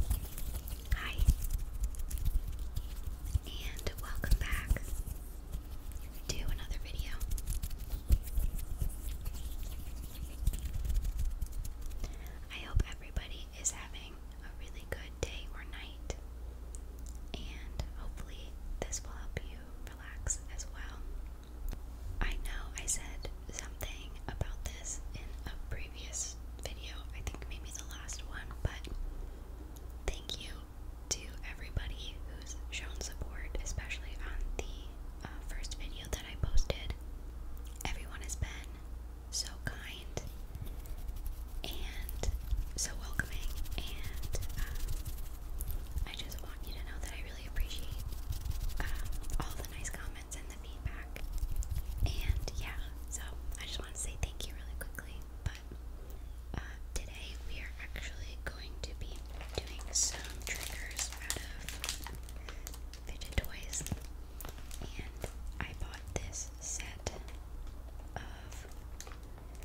Hi, and welcome back to another video. I hope everybody is having a really good day or night, and hopefully, this will help you relax as well. I know I said something about this in a previous previous video, I think maybe the last one, but thank you to everybody who's shown support, especially on the uh, first video that I posted. Everyone has been so kind and so welcoming, and um, I just want you to know that I really appreciate um, all the nice comments comments the feedback. And yeah, so I just want to say thank you really quickly. But uh, today we are actually going to be doing some triggers out of fidget toys. And I bought this set of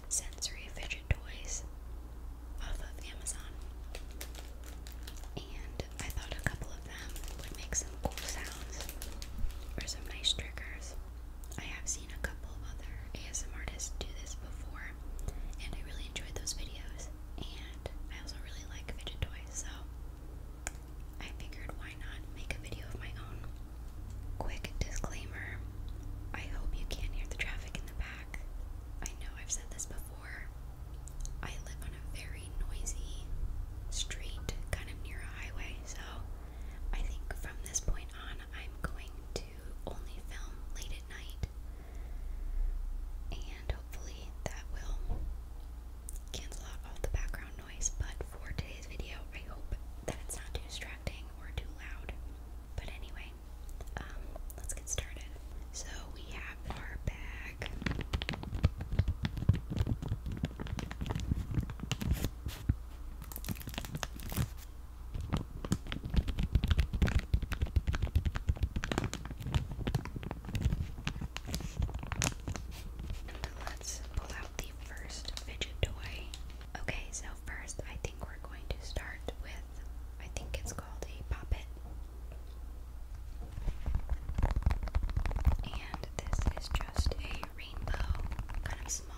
sensory fidget toys off of Amazon. And I thought a couple of them would make some cool sounds or some nice triggers. I have seen a couple of other ASM artists do this before, and I really enjoyed those videos. And I also really like fidget toys, so I figured why not make a video of my own. Quick disclaimer I hope you can't hear the traffic in the back. I know I've said this before. I live on a very noisy street kind of near a highway. So I think from this point on, I'm going to only film late at night. And hopefully that will cancel out all the background noise. But for today's video, I hope that it's not too distracting or too loud. But anyway, um, let's get started. So we have our bag. Let's pull out the first fidget toy. Okay, so first I think we're going to start with I think it's called a poppet. And this is just a rainbow, kind of smaller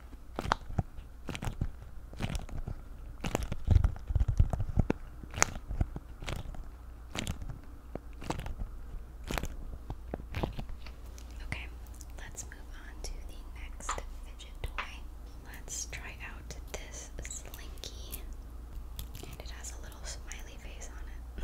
Okay, let's move on to the next fidget toy. Let's try out this slinky, and it has a little smiley face on it.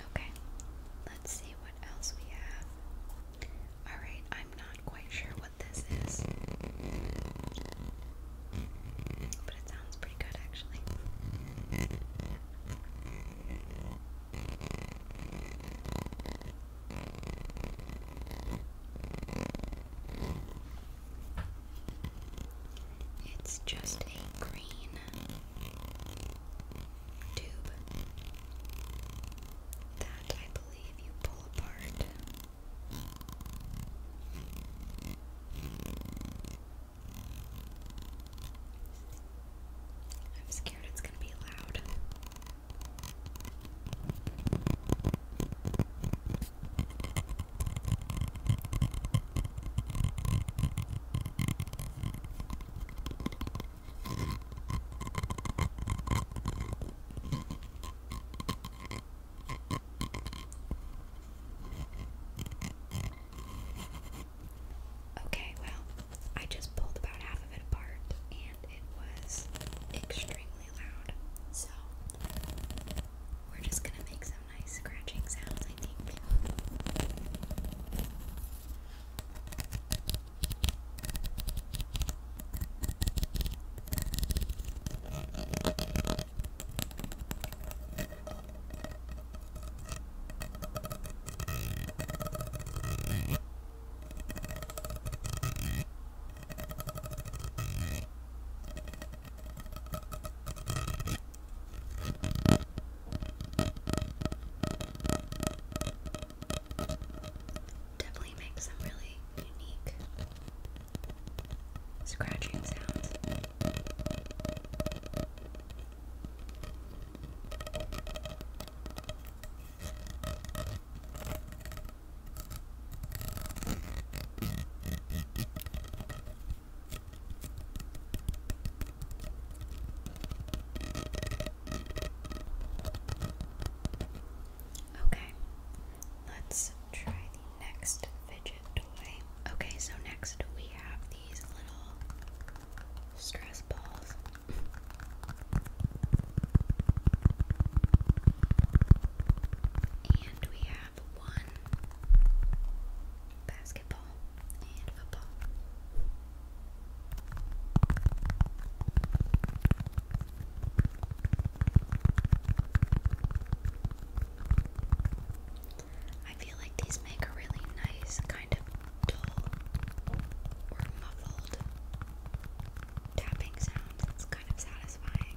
Okay, let's see what else we have. Alright, I'm not quite sure what this is. But it sounds pretty good actually. It's just a green tube that I believe you pull apart. I'm scared it's going to be loud. Okay, well, I just pulled about half of it apart and it was extremely loud. So, we're just gonna make some nice scratching sounds, Definitely makes some really unique scratching sounds. Okay, let's try Next fidget toy. Okay, so next we have these little stress balls. and we have one basketball and football. I feel like these make a really nice kind of dull or muffled tapping sound that's kind of satisfying.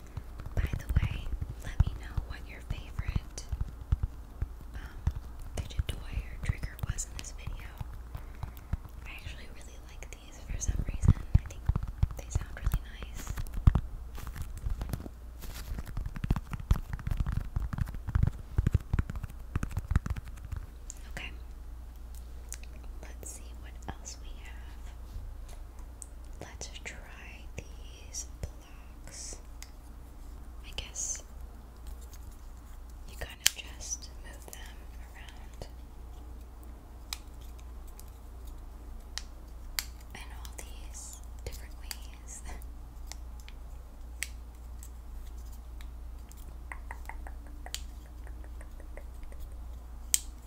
By the way, let me know what your favorite um, toy or trigger was in this video. I actually really like these for some reason. I think they sound really nice. Okay. Let's see what else we have. Let's try these blocks. I guess you kind of just move them around. In all these different ways.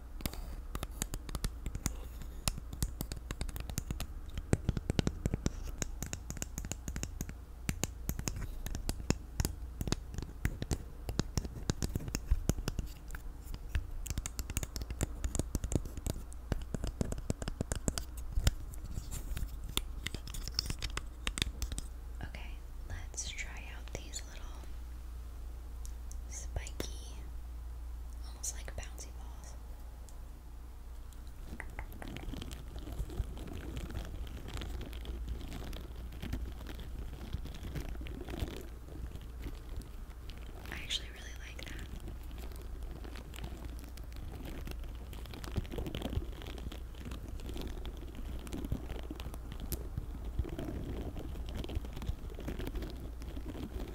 Okay, let's try out these little spiky almost like bouncy balls. I actually really like that.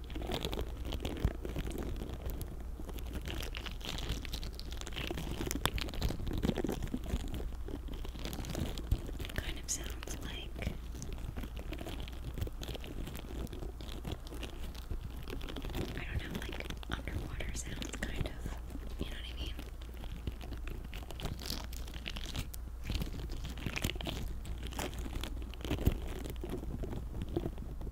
Kind of sounds like I don't know, like underwater sounds, kind of. You know what I mean?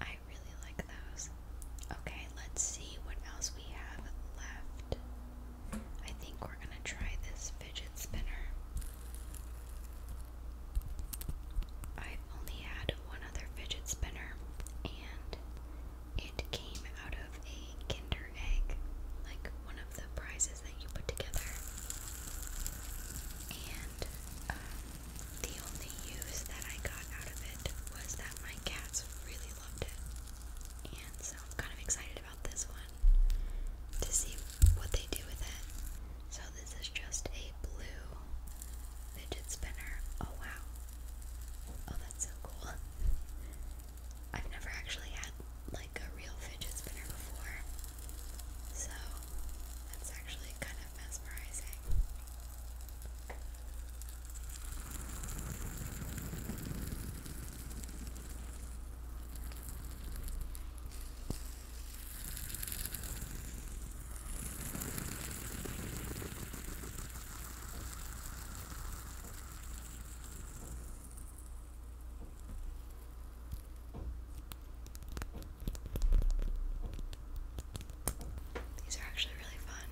I really like those. Okay, let's see what else we have left. I think we're gonna try this fidget spinner. i only had one other fidget spinner, and it came out of a Kinder Egg, like one of the prizes that you put together. And um, the only use that I got out of it was that my cats really loved it. And so I'm kind of excited about this one to see what they do with it. So this is just a blue fidget spinner. Oh wow. Oh, that's so cool. I've never actually had like a real fidget spinner before. So that's actually kind of mesmerizing. These are actually really fun.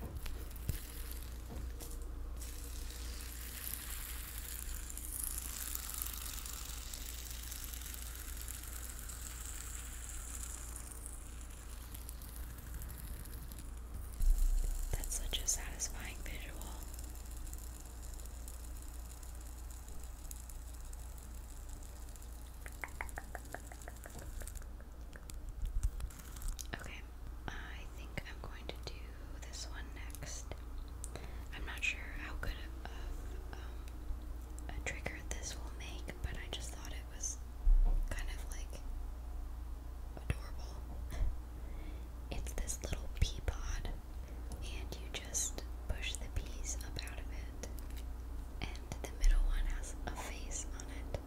That's such a satisfying visual. Okay, I think I'm going to do this one next. I'm not sure how good of um, a trigger this will make, but I just thought it was kind of like adorable. it's this little pea pod, and you just push the piece up out of it, and the middle one has a face on it.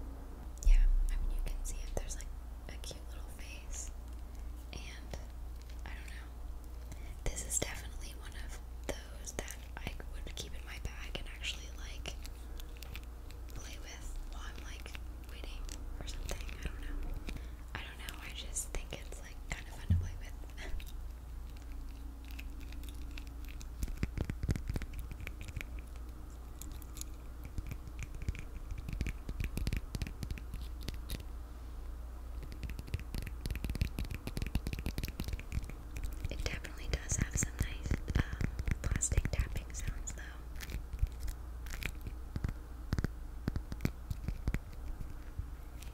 Yeah, I mean, you can see it. There's like a cute little face, and I don't know. This is definitely one of those that I would keep in my bag and actually like play with while I'm like waiting for something. I don't know. I don't know. I just think it's like kind of fun to play with. It definitely does have some nice um, plastic tapping sounds, though.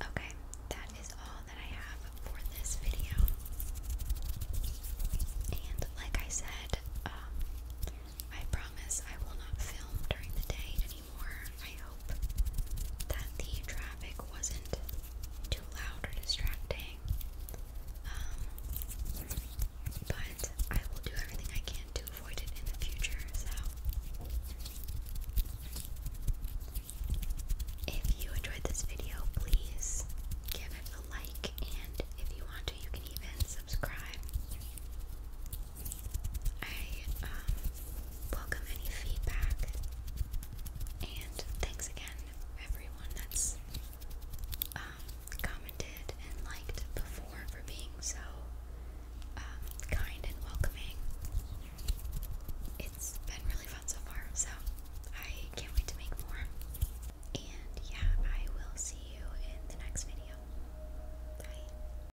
Okay, that is all that I have for this video. And like I said, um, I promise I will not film during the day anymore. I hope that the traffic wasn't too loud or distracting. Um, but I will do everything I can to avoid it in the future. So, if you enjoyed this video, please give it a like, and if you want to, you can even subscribe. I um, welcome any feedback. And thanks again, everyone that's um, commented and liked before for being so um, kind and welcoming. It's been really fun so far, so I can't wait to make more. And yeah, I will see you in the next video. Bye.